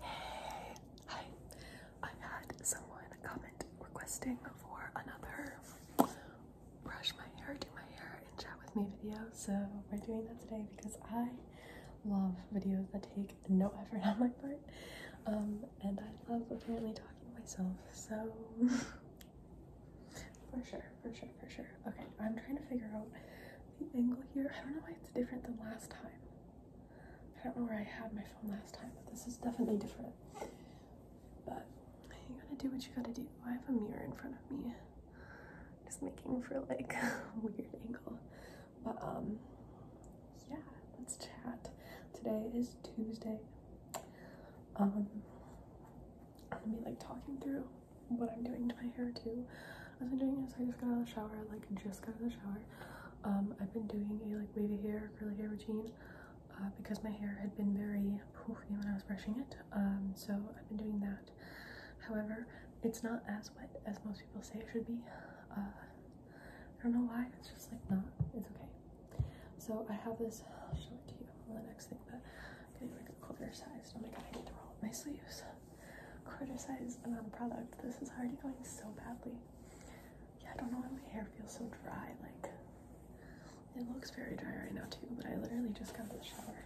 Hey, hi. I had someone comment requesting for another brush my hair, do my hair, and chat with me video. So we're doing that today because I love videos that take no effort on my part. Um, and I love apparently talking to myself, so for sure, for sure, for sure. Okay, I'm trying to figure out the angle here. I don't know why it's different than last time. I don't know where I had my phone last time, but this is definitely different. But you gotta do what you gotta do. I have a mirror in front of me. Just making for like weird angle. But um yeah, let's chat. Today is Tuesday. Um I'm gonna be like talking through what I'm doing to my hair too. As I'm doing this, I just got out of the shower, I like just got out of the shower. Um, I've been doing a like wavy hair, curly hair routine uh, because my hair had been very poofy when I was brushing it. Um, so I've been doing that. However, it's not as wet as most people say it should be. Uh, I don't know why, it's just like not, it's okay. So I have this, I'll show it to you on the next thing, but I'm getting like a quarter size. Oh my god, I need to roll up my sleeves criticize an product. This is already going so badly. Yeah, I don't know why my hair feels so dry. Like, it looks very dry right now too, but I literally just got out of the shower.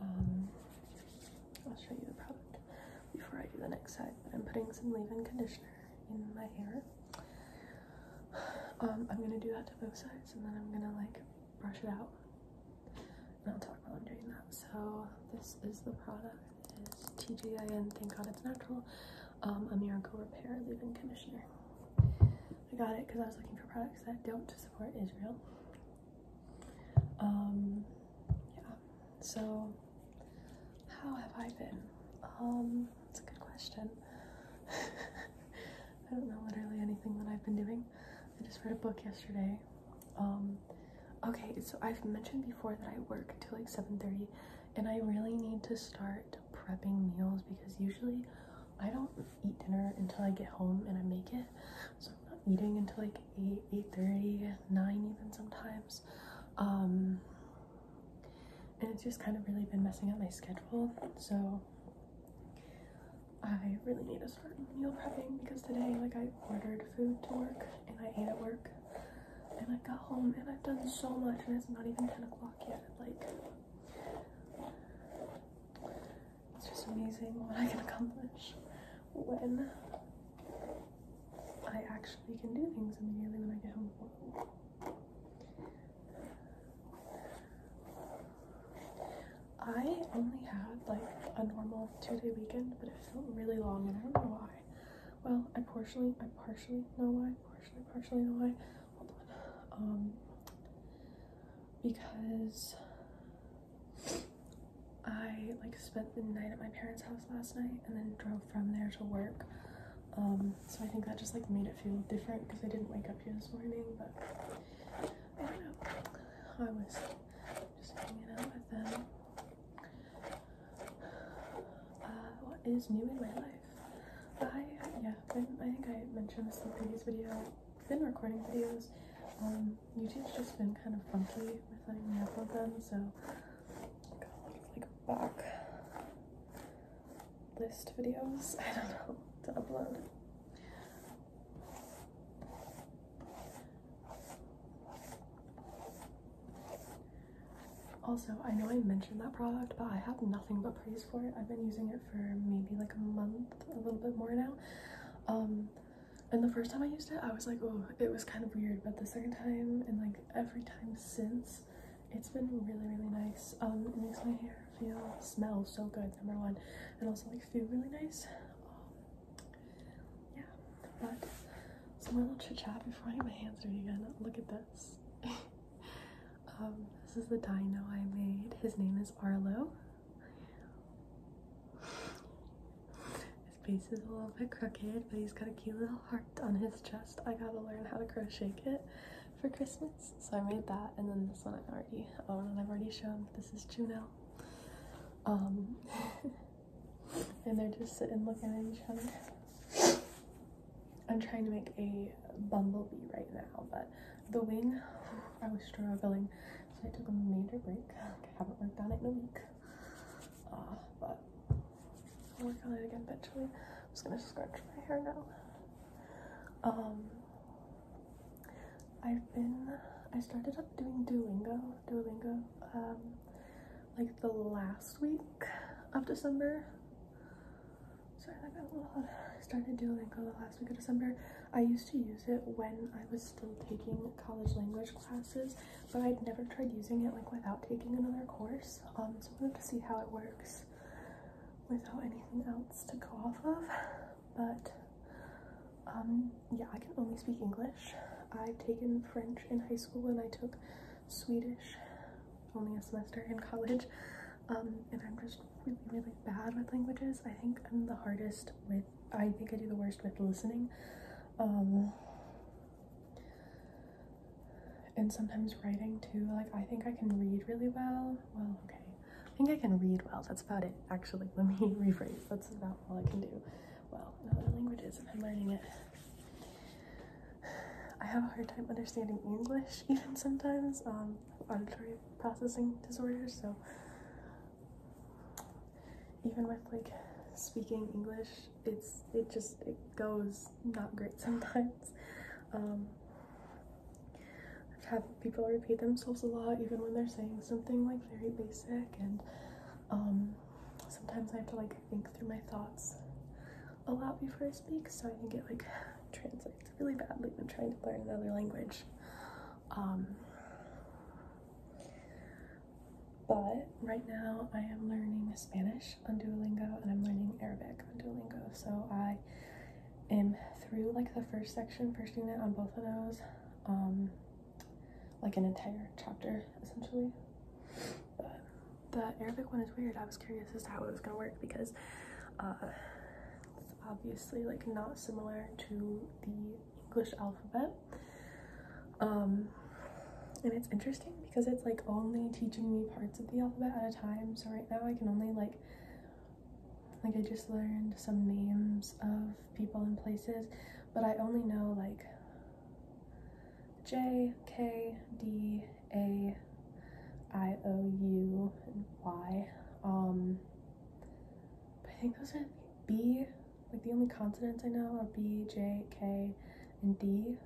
Um, I'll show you the product before I do the next side. I'm putting some leave-in conditioner in my hair. Um, I'm gonna do that to both sides, and then I'm gonna like brush it out not talk while i doing that. So this is the product. It is TGIN, thank God it's natural, um, a miracle repair leave-in conditioner. I got it because I was looking for products that don't support Israel. Um, yeah, so how have I been? Um, it's a good question. I don't know literally anything that I've been doing. I just read a book yesterday. Um, okay, so I've mentioned before that I work until like 7:30, and I really need to start prepping meals because usually I don't eat dinner until I get home and I make it. So I'm not eating until like 8, 8:30, 9 even sometimes. Um, and it's just kind of really been messing up my schedule. So I really need to start meal prepping because today, like, I ordered food to work and I ate at work, and I got home and I've done so much, and it's not even 10 o'clock yet. Like, it's just amazing what I can accomplish when I actually can do things immediately when I get home. I only had like a normal two-day weekend, but it felt really long, and I don't know why. Well, I partially, I partially know why, partially, partially know why. Hold on, um, because I like spent the night at my parents' house last night, and then drove from there to work. Um, so I think that just like made it feel different because I didn't wake up here this morning, but I don't know. I was just hanging out with them. Uh, what is new in my life? I, yeah, I, I think I mentioned this in the previous video. been recording videos. Um, YouTube's just been kind of funky with letting me upload them, so I a lot like back list videos, I don't know, to upload. Also, I know I mentioned that product, but I have nothing but praise for it. I've been using it for maybe like a month, a little bit more now. Um, and the first time I used it, I was like, oh, it was kind of weird. But the second time and like every time since, it's been really, really nice. Um, it makes my hair feel, smell so good, number one, and also like feel really nice. Um, yeah, but so my little chit chat before I get my hands dirty again. Look at this. Um, this is the die now I made. His name is Arlo. His face is a little bit crooked, but he's got a cute little heart on his chest. I gotta learn how to crochet it for Christmas. So I made that, and then this one I already own and I've already shown. This is Juno. Um, and they're just sitting looking at each other. I'm trying to make a bumblebee right now, but the wing, I was struggling, so I took a major break. I haven't worked on it in a week, uh, but I'll work on it again eventually. I'm just gonna scratch my hair now. Um, I've been, I started up doing Duolingo, Duolingo, um, like the last week of December. Sorry, I got a little loud. I started Duolingo the last week of December. I used to use it when I was still taking college language classes but I'd never tried using it like without taking another course. Um, so I wanted to see how it works without anything else to go off of. But um, yeah, I can only speak English. I've taken French in high school and I took Swedish only a semester in college. Um, and I'm just really, really bad with languages. I think I'm the hardest with, I think I do the worst with listening and sometimes writing too like i think i can read really well well okay i think i can read well that's about it actually let me rephrase that's about all i can do well other languages i'm learning it i have a hard time understanding english even sometimes um auditory processing disorder so even with like speaking english it's it just it goes not great sometimes um i've had people repeat themselves a lot even when they're saying something like very basic and um sometimes i have to like think through my thoughts a lot before i speak so i can get like translates really badly when trying to learn another language um but right now I am learning Spanish on Duolingo and I'm learning Arabic on Duolingo. So I am through like the first section, first unit on both of those. Um, like an entire chapter essentially. the Arabic one is weird. I was curious as to how it was gonna work because uh, it's obviously like not similar to the English alphabet. Um, and it's interesting because it's like only teaching me parts of the alphabet at a time. So right now I can only like, like I just learned some names of people and places, but I only know like J, K, D, A, I, O, U, and Y. Um, I think those are B, like the only consonants I know are B, J, K, and D.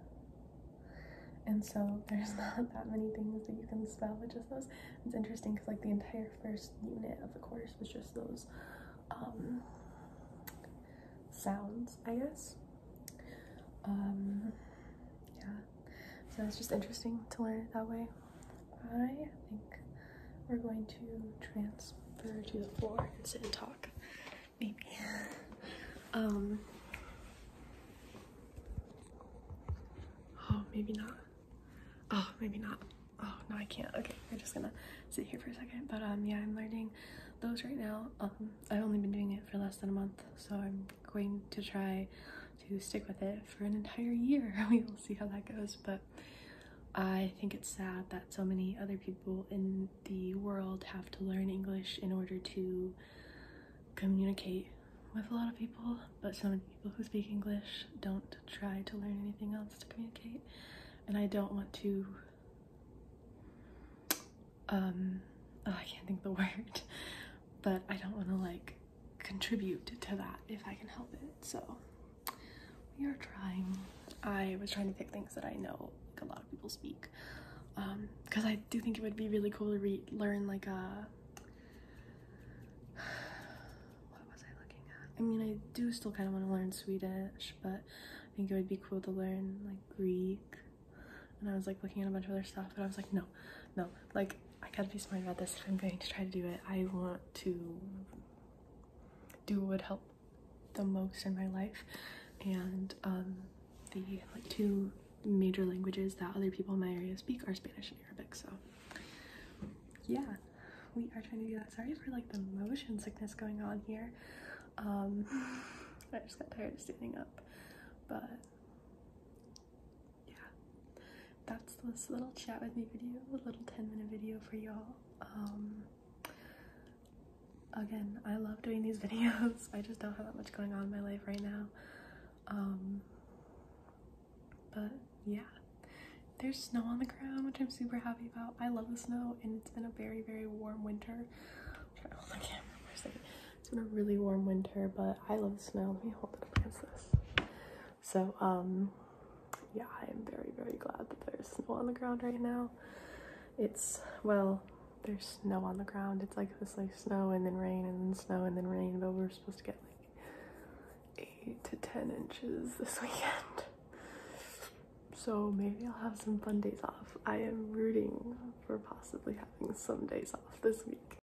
And so there's not that many things that you can spell with just those. It's interesting because like the entire first unit of the course was just those um, sounds, I guess. Um, yeah. So it's just interesting to learn it that way. I think we're going to transfer to the floor and sit and talk. Maybe. Um. Oh, maybe not. Oh, maybe not. Oh, no, I can't. Okay, we're just gonna sit here for a second. But um, yeah, I'm learning those right now. Um, I've only been doing it for less than a month, so I'm going to try to stick with it for an entire year. we will see how that goes, but I think it's sad that so many other people in the world have to learn English in order to communicate with a lot of people, but so many people who speak English don't try to learn anything else to communicate. And I don't want to, um, oh, I can't think the word, but I don't want to like contribute to that if I can help it. So we are trying. I was trying to pick things that I know like a lot of people speak um, because I do think it would be really cool to re learn like a uh, what was I looking at? I mean, I do still kind of want to learn Swedish, but I think it would be cool to learn like Greek. And I was like looking at a bunch of other stuff, but I was like, no, no, like I gotta be smart about this if I'm going to try to do it. I want to do what would help the most in my life and um, the like two major languages that other people in my area speak are Spanish and Arabic so yeah we are trying to do that sorry for like the motion sickness going on here um, I just got tired of standing up but yeah, that's this little chat with me video, a little 10 minute video for y'all. Um, again, I love doing these videos. I just don't have that much going on in my life right now. Um, but yeah, there's snow on the ground, which I'm super happy about. I love the snow, and it's been a very, very warm winter. hold the camera it It's been a really warm winter, but I love the snow. Let me hold it against this. So um yeah, I'm very very glad that there's snow on the ground right now. It's well, there's snow on the ground. It's like this like snow and then rain and then snow and then rain, but we're supposed to get like 8 to 10 inches this weekend. So maybe I'll have some fun days off. I am rooting for possibly having some days off this week.